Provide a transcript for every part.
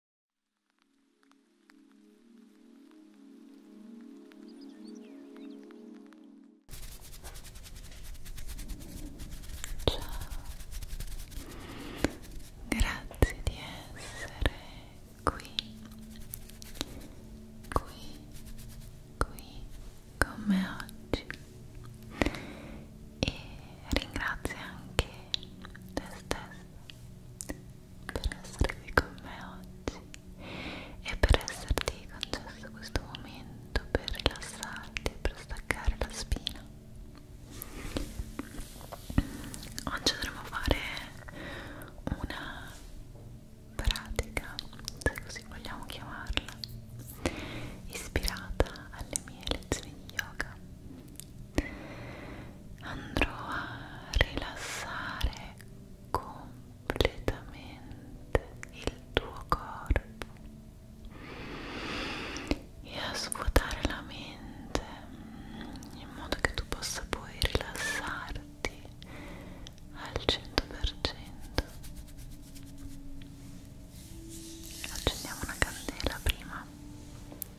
Ciao, grazie di essere qui, qui, qui con me oggi e ringrazio anche te stesso per essere qui con me oggi e per esserti concesso questo momento per rilassarti e per staccare la spina. Oggi dovremo fare una pratica, se così vogliamo chiamarla, ispirata alle mie lezioni di yoga andrò a rilassare completamente il tuo corpo e a svuotare la mente in modo che tu possa poi rilassarti al 100% accendiamo una candela prima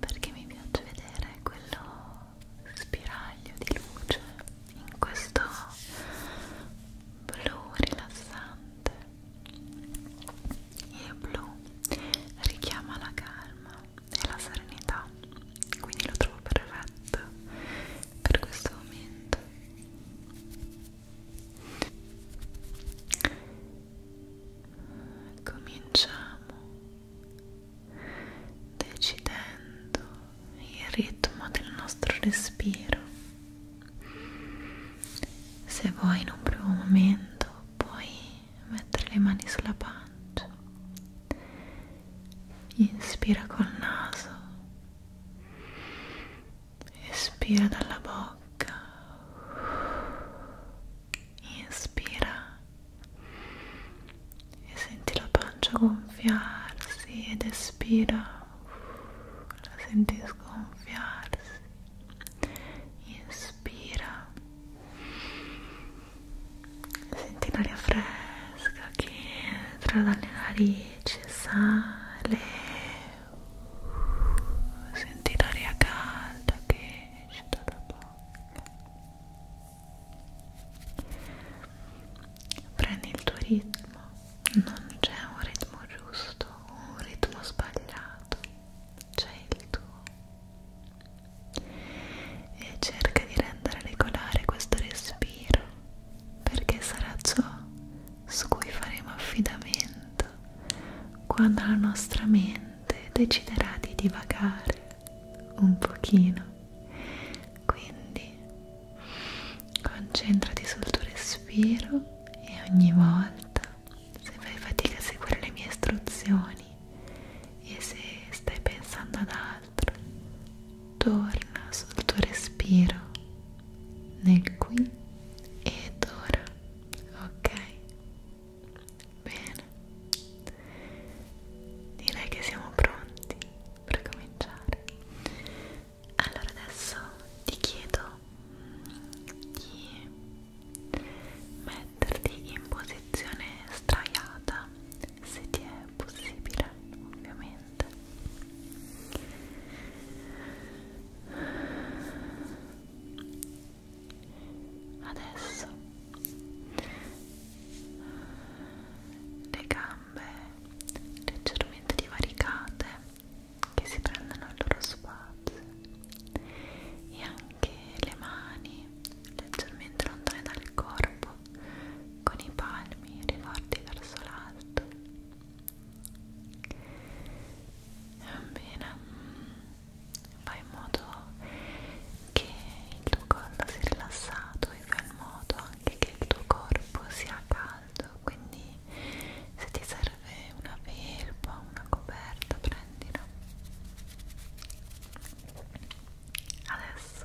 perché mi piace vedere quello spiraglio di luce in questo blu rilassante il blu richiama la calma e la serenità quindi lo trovo perfetto per questo momento cominciamo decidendo il ritmo del nostro respiro se vuoi in un primo momento puoi mettere le mani sulla pancia inspira col naso, espira dalla bocca, inspira e senti la pancia gonfiarsi ed espira, la senti sgonfiarsi, inspira senti l'aria fresca che entra dalle narici, sale senti l'aria calda che esce dalla bocca prendi il tuo ritmo non c'è un ritmo giusto un ritmo sbagliato c'è il tuo e cerca di rendere regolare questo respiro respiro perché sarà ciò su cui faremo affidamento quando la nostra mente deciderà di divagare un pochino. Quindi concentrati sul tuo respiro e ogni volta se fai fatica a seguire le mie istruzioni e se stai pensando ad altro l'altro torna sul tuo respiro nel qui ed ora ok bene direi che siamo pronti per cominciare allora adesso ti chiedo di metterti in posizione straiata se ti è possibile ovviamente adesso le gambe leggermente divaricate che si prendono il loro spazio e anche le mani leggermente lontane dal corpo con i palmi rivolti verso l'alto bene fai in modo che il tuo collo sia rilassato e fai in modo anche che il tuo corpo sia caldo quindi se ti serve una felpa una coperta prendila adesso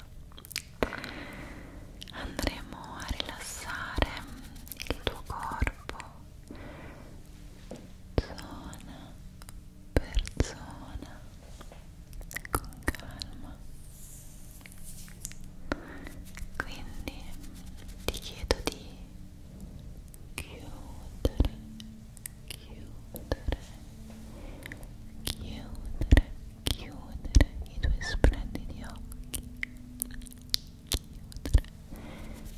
andremo a rilassare il tuo corpo zona per zona con calma quindi ti chiedo di chiudere chiudere chiudere chiudere i tuoi splendidi occhi chiudere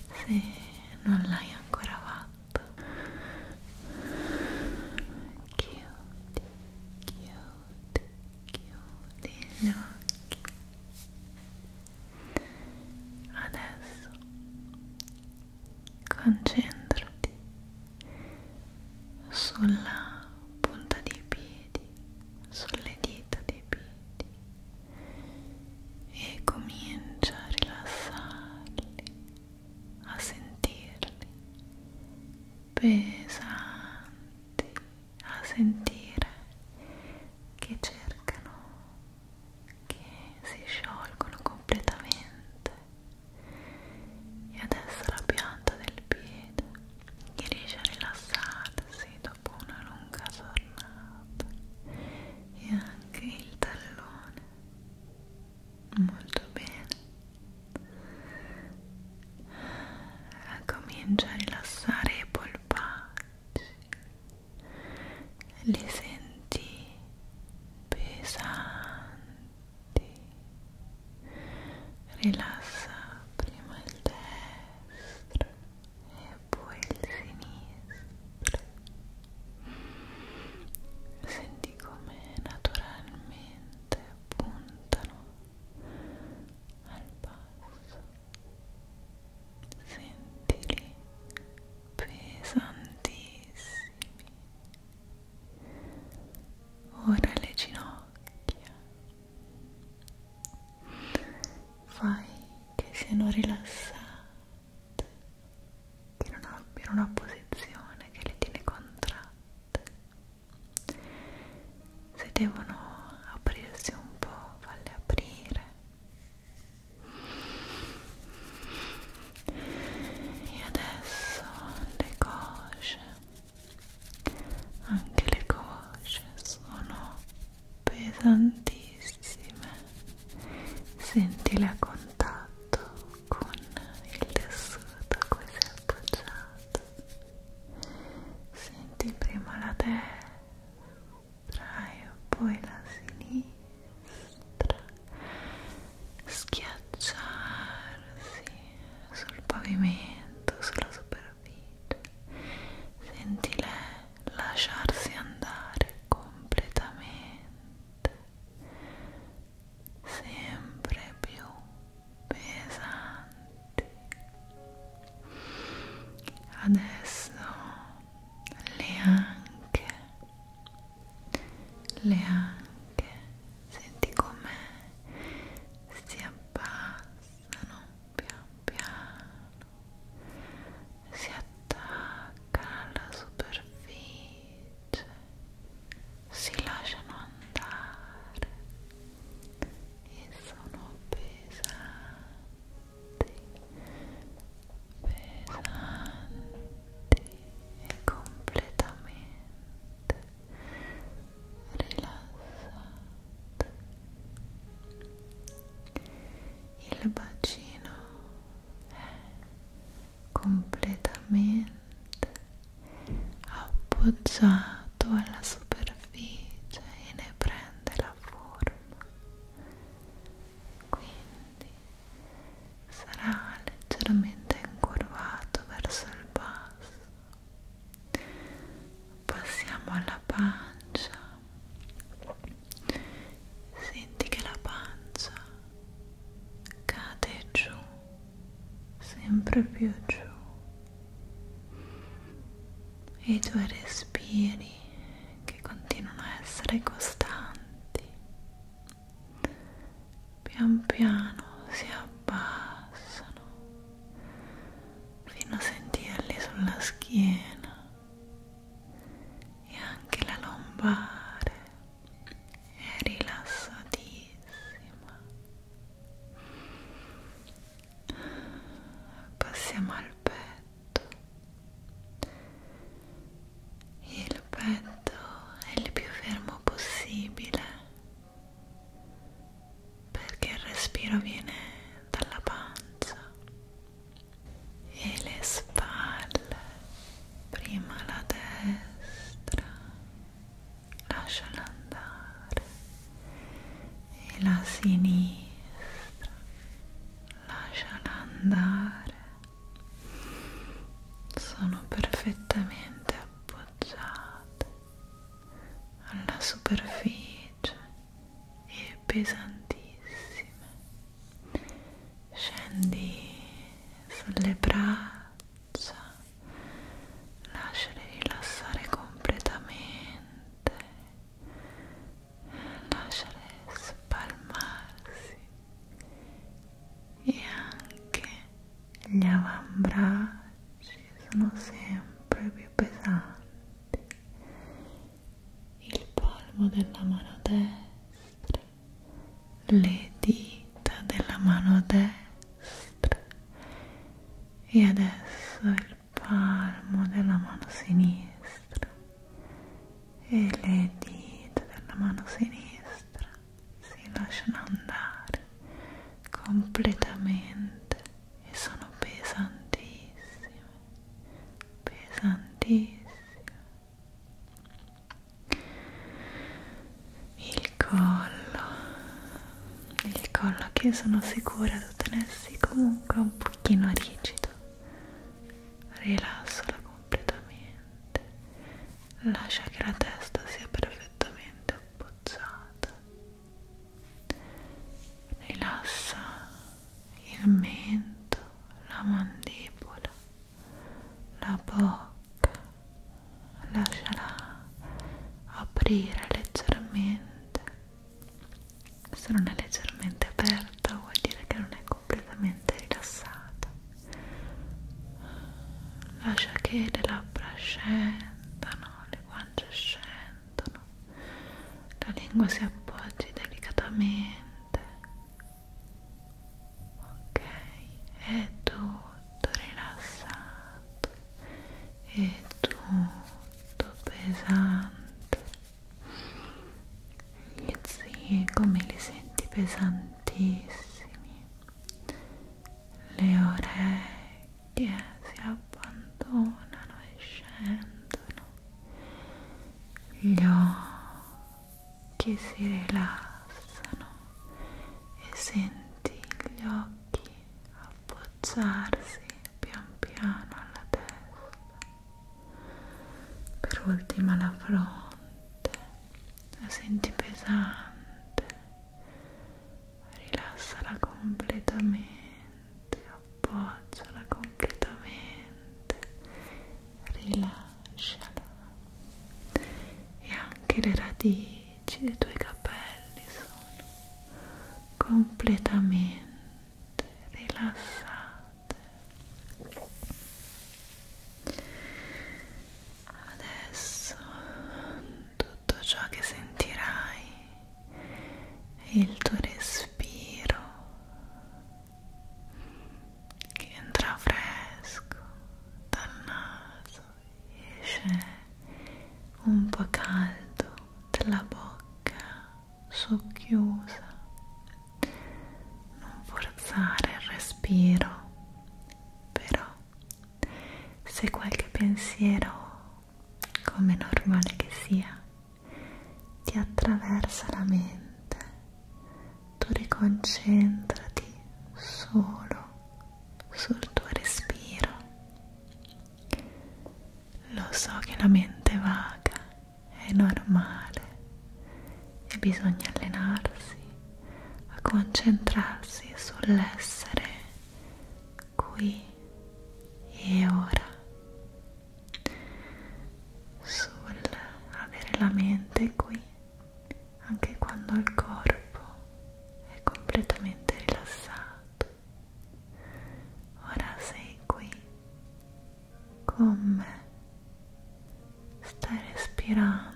se non l'hai ancora fatto chiudi chiudi chiudi gli occhi adesso concentrati sulla punta dei piedi, sulle dita dei piedi e comincia a rilassarli, a sentirli pesanti, a sentire che cercano, che si sciolgono completamente e adesso la pianta del piede riesce a rilassarsi dopo una lunga giornata e anche il tallone molto bene comincia a rilassare i polpacci li senti pesanti rilassa prima il destro e poi il sinistro senti come naturalmente puntano al basso sentili pesantissimi ora le ginocchia fai che siano rilassate che non abbiano una posizione che le tiene contratte se devono aprirsi un po' falle aprire e adesso le cosce anche le cosce sono pesantissime sentile a contatto con il tessuto a cui sei appoggiato senti prima la destra e poi la sinistra schiacciarsi sul pavimento, sulla superficie. Senti lei lasciarsi andare completamente, sempre più pesanti. Adesso le anche le anche senti come si abbassano pian piano si attaccano alla superficie si lasciano andare e sono pesanti pesanti e completamente rilassate il bacino è completamente appoggiato alla superficie e ne prende la forma quindi sarà leggermente incurvato verso il basso basso passiamo alla pancia senti che la pancia cade giù sempre più giù e i tuoi respiri che continuano a essere costanti pian piano si abbassano fino a sentirli sulla schiena e anche la lombare è rilassatissima passiamo al petto il petto è il più fermo possibile perché il respiro viene dalla pancia e le spalle prima la destra lasciala andare e la sinistra lasciala andare sono perfettamente appoggiate appoggiate alla superficie e pesantissime scendi sulle braccia lasciale rilassare completamente lasciale spalmarsi e anche gli avambracci sono sempre più pesanti il palmo della mano destra le dita della mano destra e adesso il palmo della mano sinistra e le dita della mano sinistra si lasciano andare completamente e sono pesantissime, pesantissime. Il collo, il collo che sono sicura di tenersi comunque un pochino rigido rilassalo completamente lascia che la testa sia perfettamente appoggiata rilassa il mento la mandibola la bocca lasciala aprire leggermente se non è leggermente aperta vuol dire che non è completamente rilassata lascia che le labbra scendano, le guance scendono, la lingua si appoggi delicatamente, ok, è tutto rilassato, è tutto pesante, gli zigomi li senti pesantissimi le orecchie si abbandonano e scendono, gli occhi si rilassano e senti gli occhi abbozzarsi pian piano alla testa, per ultima la fronte la senti pesante rilassala completamente, appoggiala completamente, rilasciala e anche le radici dei tuoi capelli sono completamente rilassate Adesso tutto ciò che sentirai è il tuo respiro che entra fresco dal naso e esce un po' caldo dalla bocca socchiusa. Non forzare il respiro, però se qualche pensiero, come normale che sia, ti attraversa la mente, tu riconcentrati solo sul tuo respiro. Lo so che la mente vaga è normale e bisogna allenarsi a concentrarsi sull'essere qui e ora, sul avere la mente qui anche quando il corpo è completamente rilassato. Ora sei qui con me, stai respirando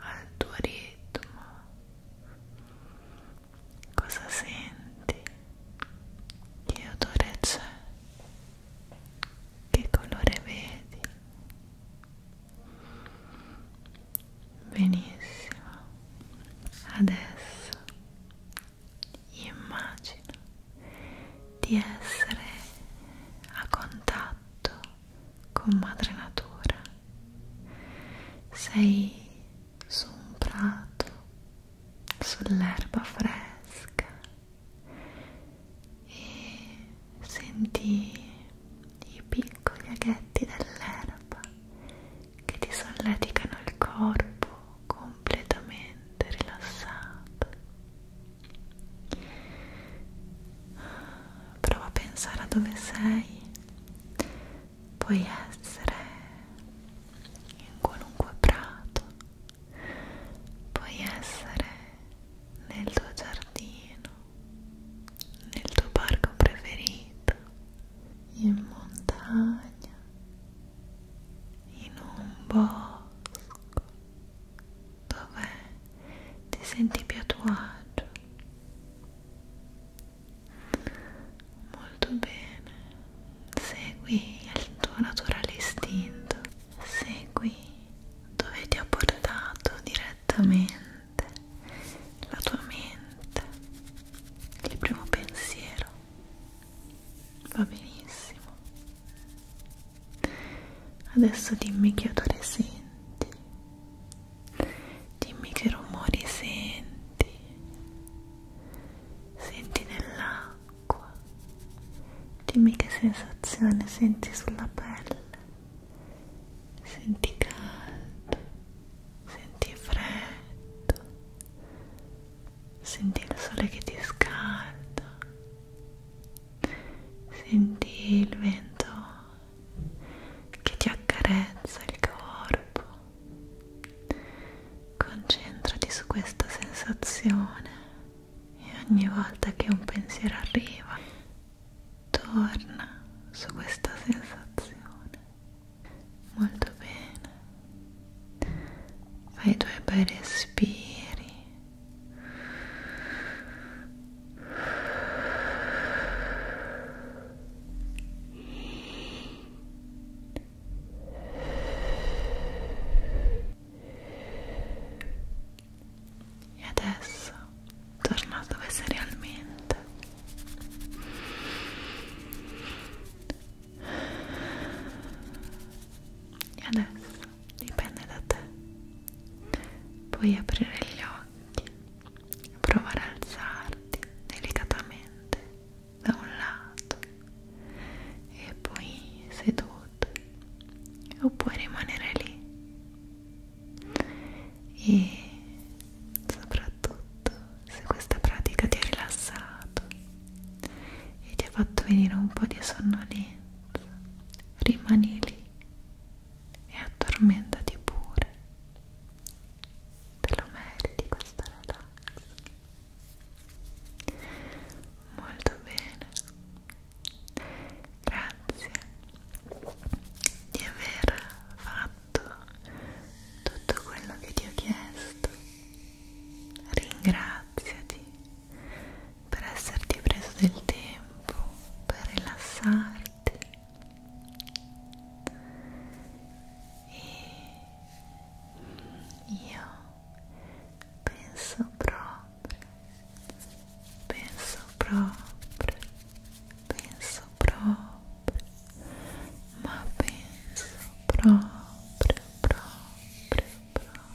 al tuo ritmo cosa senti che odore c'è che colore vedi benissimo adesso immagino di essere a contatto con madre natura sei su un prato sull'erba fresca e senti i piccoli aghetti dell'erba che ti solleticano il corpo completamente rilassato prova a pensare a dove sei puoi essere in qualunque prato puoi essere nel tuo giardino nel tuo parco preferito in montagna in un bosco dove ti senti più a tuo agio molto bene segui il tuo naturale istinto segui dove ti ha portato direttamente la tua mente il primo pensiero va benissimo adesso dimmi che odore senti dimmi che rumori senti senti nell'acqua dimmi che sensazione senti sulla pelle senti caldo senti freddo senti il sole che ti scalda senti il vento che ti accarezza il corpo. Concentrati su questa sensazione e ogni volta che un pensiero arriva, torna su questa sensazione. Molto bene. Fai i tuoi bei respiri e adesso torna dove sei realmente. E adesso dipende da te. Puoi aprire gli occhi provare a alzarti delicatamente da un lato e poi seduto oppure rimanere lì e soprattutto se questa pratica ti ha rilassato e ti ha fatto venire un po' di sonnolenza rimani lì e addormentati pure te lo meriti questo relax molto bene grazie di aver fatto tutto quello che ti ho chiesto ringraziati per esserti preso del tempo per rilassarti e io penso proprio penso proprio penso proprio ma penso proprio proprio proprio proprio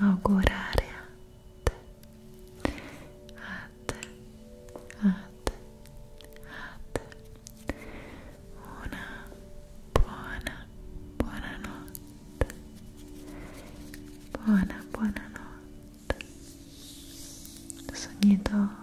augurare a te, a te, a te, a te una buona, buona notte, buona, buona notte, sognatore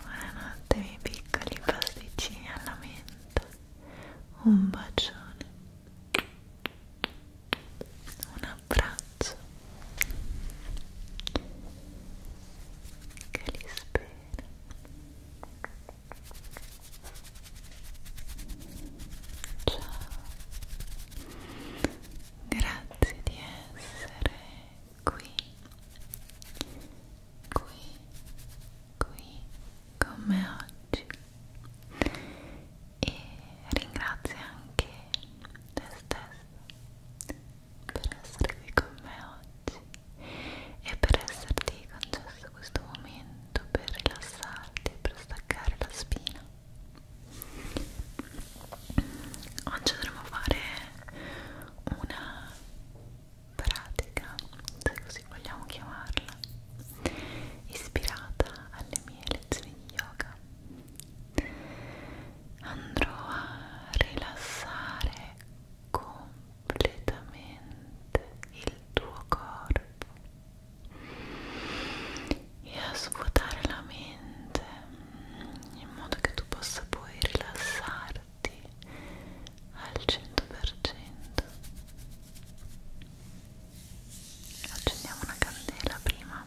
Buonanotte miei piccoli pasticcini alla menta Un bacione Un abbraccio Che li spero Ciao, grazie di essere qui, qui, qui con me oggi e ringrazio anche te stesso per essere qui con me oggi e per esserti concesso questo momento per rilassarti e per staccare la spina. Oggi dovremo fare una pratica, se così vogliamo chiamarla, ispirata alle mie lezioni di yoga. Andrò a rilassare completamente il tuo corpo e a svuotare la mente in modo che tu possa poi rilassarti al 100% accendiamo una candela prima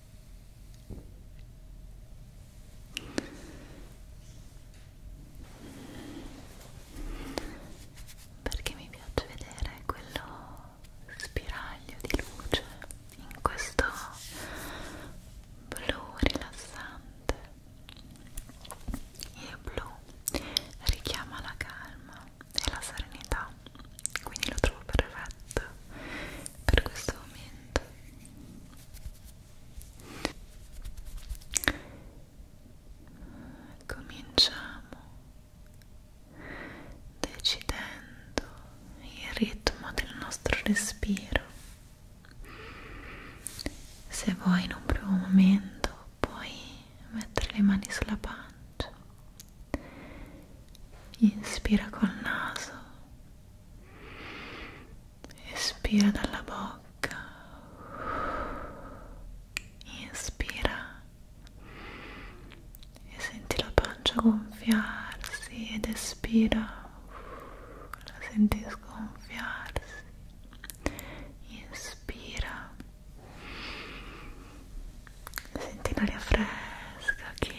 perché mi piace vedere quello spiraglio di luce in questo blu rilassante il blu richiama la calma e la serenità quindi lo trovo perfetto per questo momento Cominciamo decidendo il ritmo del nostro respiro. Se vuoi in un primo momento puoi mettere le mani sulla pancia. Inspira col naso espira dalla bocca inspira e senti la pancia gonfiarsi ed espira la senti sgonfiarsi inspira senti l'aria fresca che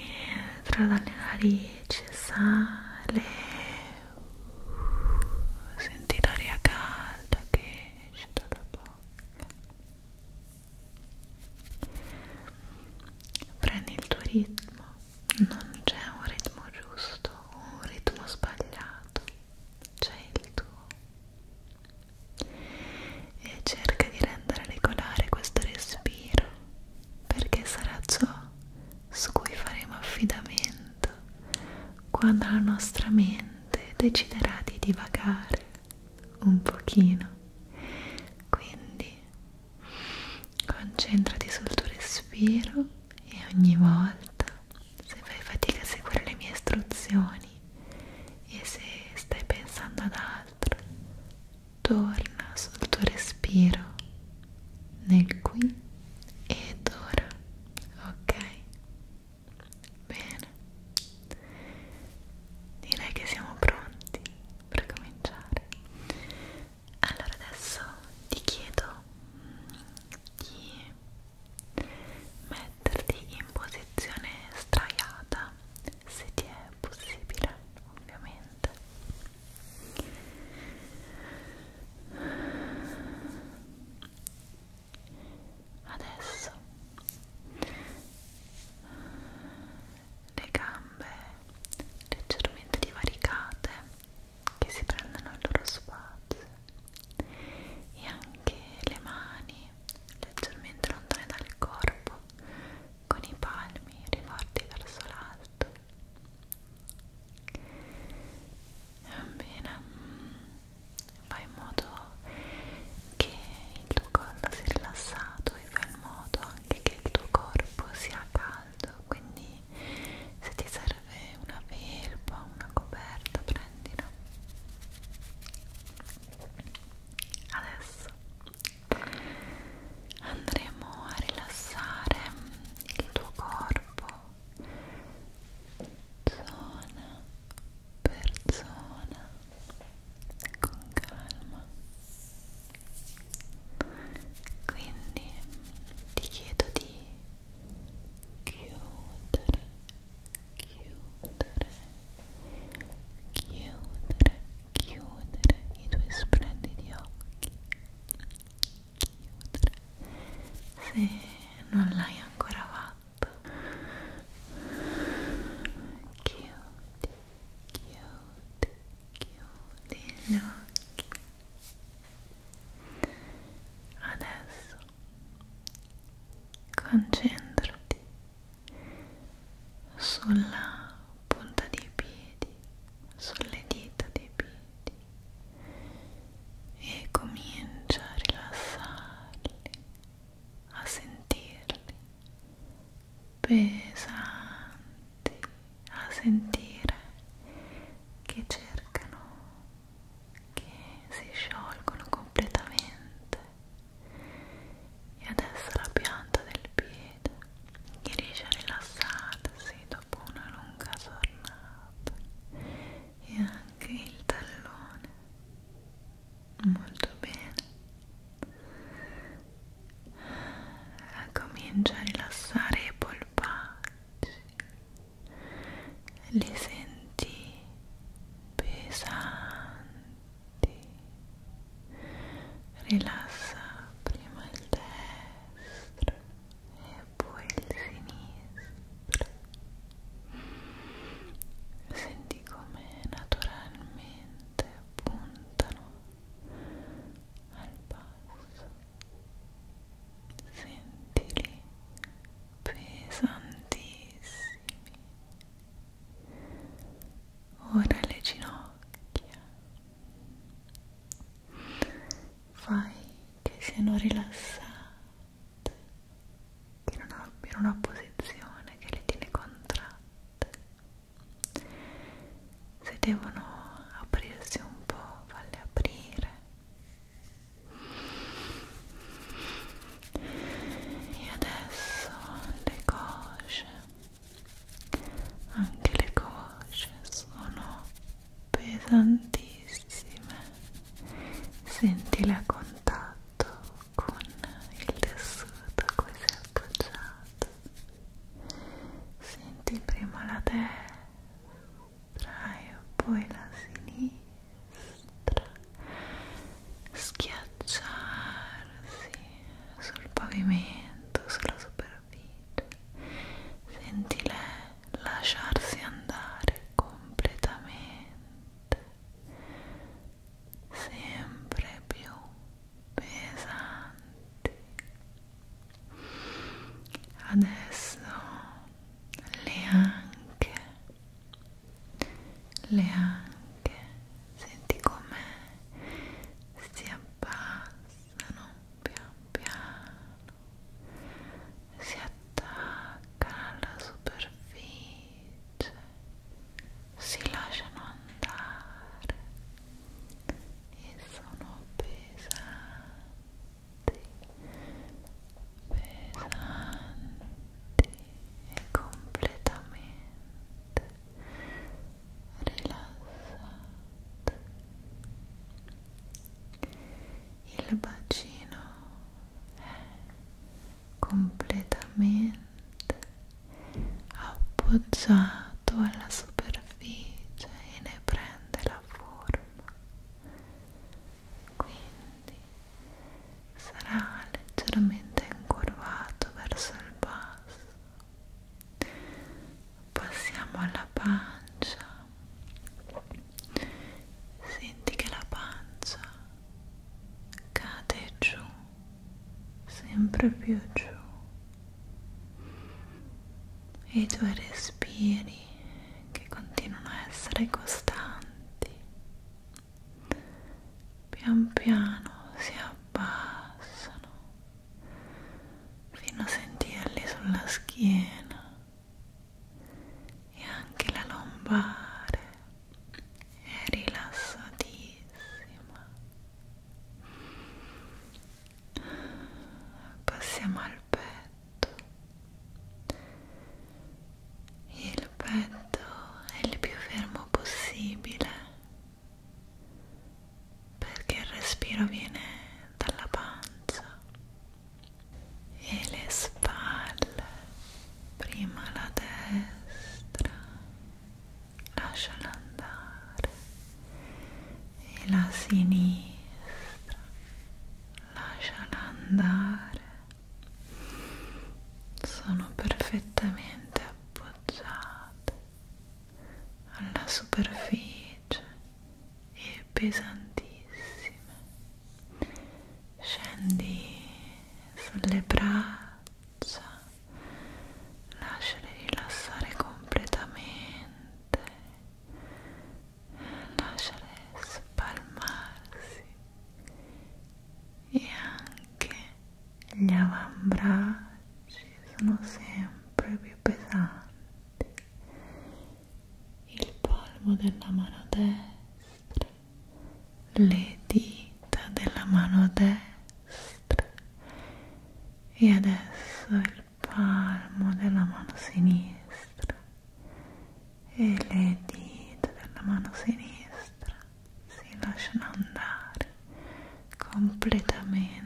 tra dalle narici, sale, uh, senti l'aria calda che esce dalla bocca. Prendi il tuo ritmo, non c'è un ritmo giusto o un ritmo sbagliato, c'è il tuo. E cerca di rendere regolare questo respiro perché sarà ciò su cui faremo affidamento quando la nostra mente deciderà di divagare un pochino. Quindi concentrati sul tuo respiro e ogni volta se fai fatica a seguire le mie istruzioni e se stai pensando ad altro torna sul tuo respiro nel qui ed ora, ok? Bene, direi che siamo pronti per cominciare. Allora adesso ti chiedo di metterti in posizione straiata se ti è possibile ovviamente adesso le gambe leggermente divaricate che si prendono il loro spazio e anche le mani leggermente lontane dal corpo con i palmi rivolti verso l'alto va bene mm, fai in modo che il tuo collo sia rilassato e fai in modo anche che il tuo corpo sia caldo quindi se ti serve una felpa una coperta prendila adesso andremo a rilassare il tuo corpo zona per zona con calma quindi ti chiedo di chiudere chiudere chiudere chiudere i tuoi splendidi occhi chiudere se non l'hai ancora fatto chiudi chiudi chiudi gli occhi adesso concentrati sulla punta dei piedi sulle dita dei piedi e comincia a rilassarli, a sentirli pesanti, a sentire che cercano, che si sciolgono completamente. E adesso la pianta del piede vede che riesce a rilassarsi dopo una lunga giornata e anche il tallone molto bene ah, comincia a rilassare i polpacci li senti pesanti rilassa prima il terzo destro e poi il sinistro senti come naturalmente puntano al basso sentili pesantissimi ora le ginocchia fai che siano rilassate, che non abbiano una posizione che le tiene contratte. Se devono aprirsi un po', falle aprire. E adesso le cosce anche le cosce sono pesantissime senti la contatto con il tessuto a cui sei appoggiato senti prima la destra e poi la sinistra schiacciarsi sul pavimento sulla superficie capito senti lei lasciarsi andare completamente sempre più pesanti adesso le anche le anche senti come si abbassano pian piano si attacca alla superficie si lasciano andare e sono pesanti pesanti e completamente rilassate il bacino è completamente appoggiato alla superficie e ne prende la forma quindi sarà leggermente incurvato verso il basso passiamo alla pancia senti che la pancia cade giù sempre più giù e i tuoi respiri che continuano a essere costanti pian piano si abbassano fino a sentirli sulla schiena e anche la lombare è rilassatissima passiamo al petto il petto è il più fermo possibile perché il respiro viene dalla pancia e le spalle, prima la destra, lasciala andare e la sinistra, lasciala andare, sono perfettamente appoggiate alla superficie e pesantissime scendi sulle braccia lasciali rilassare completamente lasciale spalmarsi e anche gli avambracci sì, sono sempre più pesanti il palmo della mano destra le dita della mano destra e adesso il palmo della mano sinistra e le dita della mano sinistra si lasciano andare completamente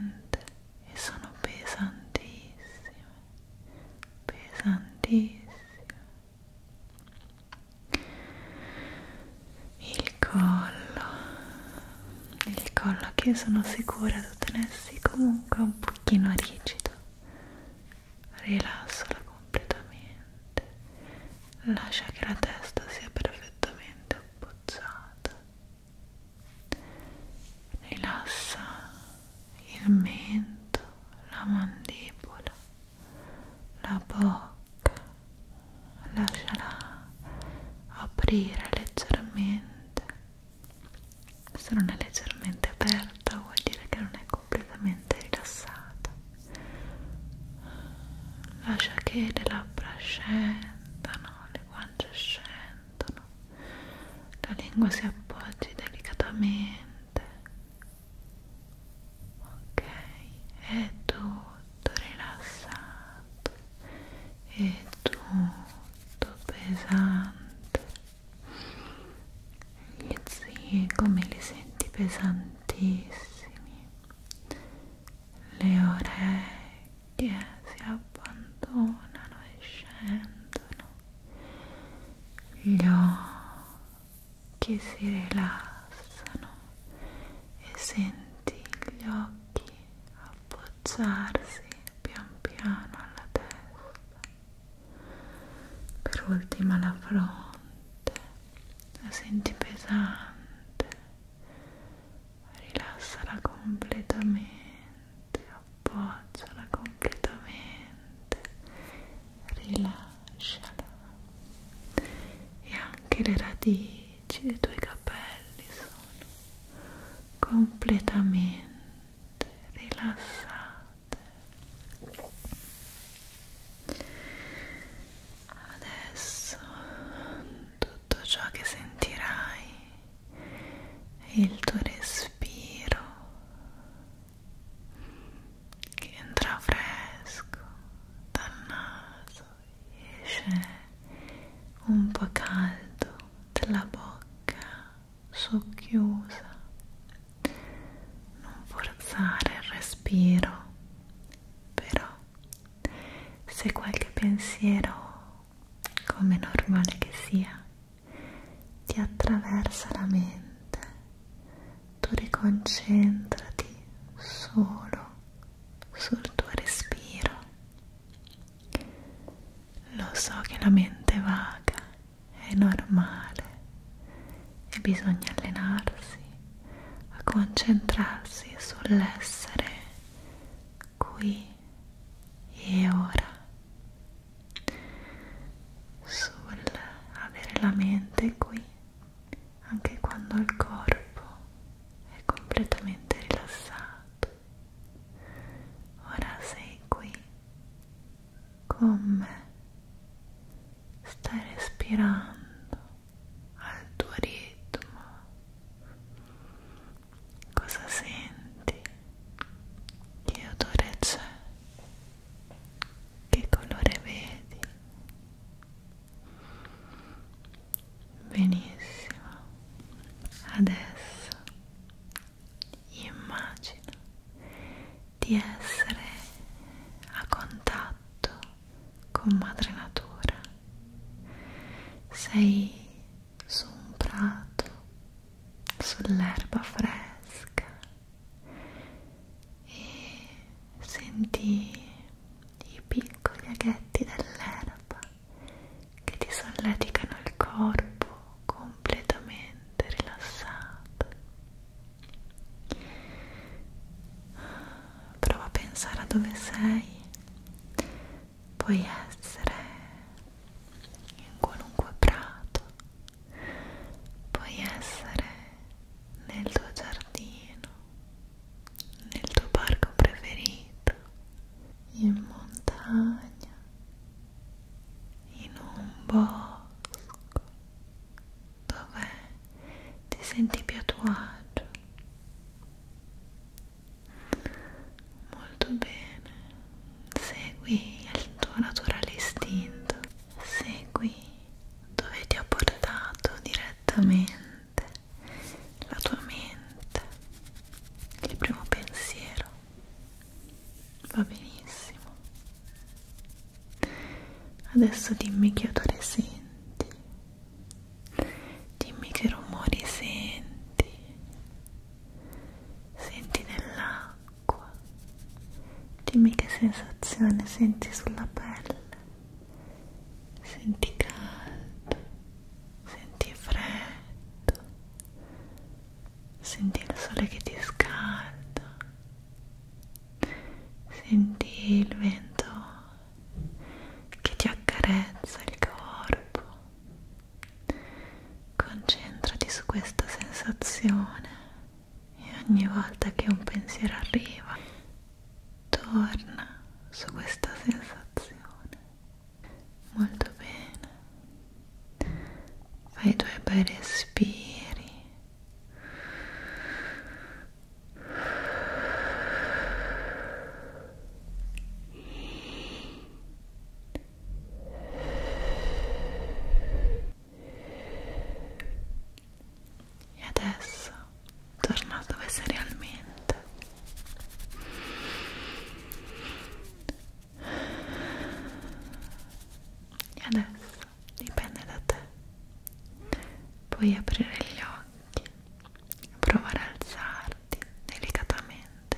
e sono pesantissime, pesantissime. Il collo, il collo che sono sicura di tenersi comunque un pochino rigido. Rilassala completamente. Lascia che la testa sia perfettamente appoggiata Rilassa il mento, la mandibola, la bocca, lasciala aprire leggermente. Se non è leggermente aperta vuol dire che non è completamente rilassata. Lascia che le labbra scendano, le guance scendano sentono la lingua si appoggi delicatamente ok è tutto rilassato è tutto pesante gli zii come li senti pesantissimi le orecchie che si abbandonano e scendono, gli occhi si rilassano e senti gli occhi appoggiarsi pian piano alla testa, per ultima la fronte, la senti pesante rilassala completamente, appoggiala completamente, rilasciala e anche le radici dei tuoi capelli sono completamente rilassate. Adesso tutto ciò che sentirai e il tuo respiro che entra fresco dal naso e esce un po' caldo dalla bocca socchiusa non forzare il respiro però se qualche pensiero come normale che sia, ti attraversa la mente, tu riconcentrati solo sul tuo respiro. Lo so che la mente vaga è normale e bisogna allenarsi a concentrarsi sull'essere qui e ora sul avere la mente qui anche quando il corpo è completamente rilassato ora sei qui con me stai respirando al tuo ritmo Cosa senti? Che odore c'è? Che colore vedi? Benissimo. Adesso immagina di essere a contatto con madre natura. Sei su un prato, sull'erba fresca e senti i piccoli aghetti dell'erba che ti solleticano il corpo completamente rilassato. Prova a pensare a dove sei puoi essere in qualunque prato, puoi essere nel tuo giardino, nel tuo parco preferito, in montagna, in un bosco dove ti senti più a tuo agio Molto bene. Segui il tuo naturale istinto. Segui dove ti ha portato direttamente la tua mente. Il primo pensiero. Va benissimo. Adesso dimmi che odore senti dimmi che rumori senti senti nell'acqua dimmi che sensazione senti sulla pelle senti caldo senti freddo senti il sole che ti scalda senti il vento che ti accarezza il corpo Concentrati su questa sensazione e ogni volta che un pensiero arriva, torna su questa sensazione. Molto bene. Fai i tuoi bei respiri. E adesso torna dove sei realmente. E adesso dipende da te. Puoi aprire gli occhi, provare a alzarti porti delicatamente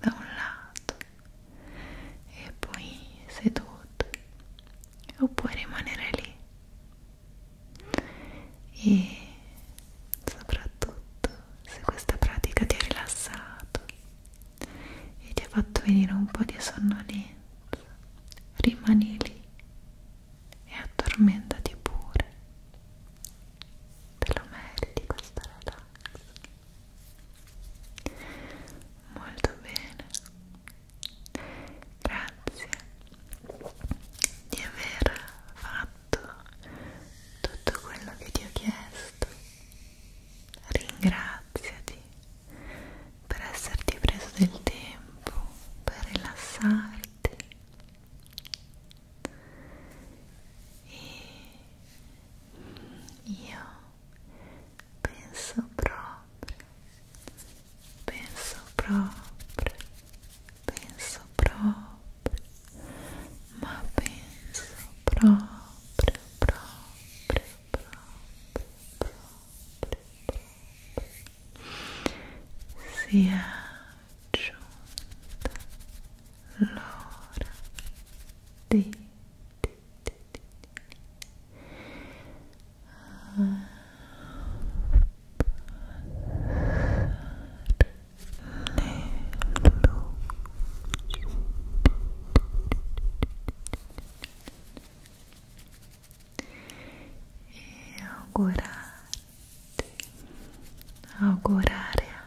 da un lato e poi seduto o puoi rimanere lì e soprattutto se questa pratica ti ha rilassato e ti ha fatto venire un po' di sonnolenza rimani lì e addormentati pure te lo meriti questo relax molto bene grazie di aver fatto tutto quello che ti ho chiesto ringraziati per esserti preso del tempo per rilassarti e io penso proprio penso proprio penso proprio ma penso proprio proprio proprio proprio proprio sia raggiunta l'ora di, di, di, di, di. Ah, e augurare augurare a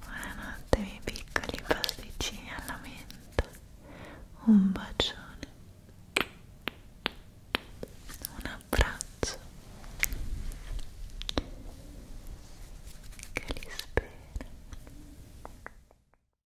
Buonanotte miei piccoli pasticcini alla menta Un bacione Un abbraccio Che li spero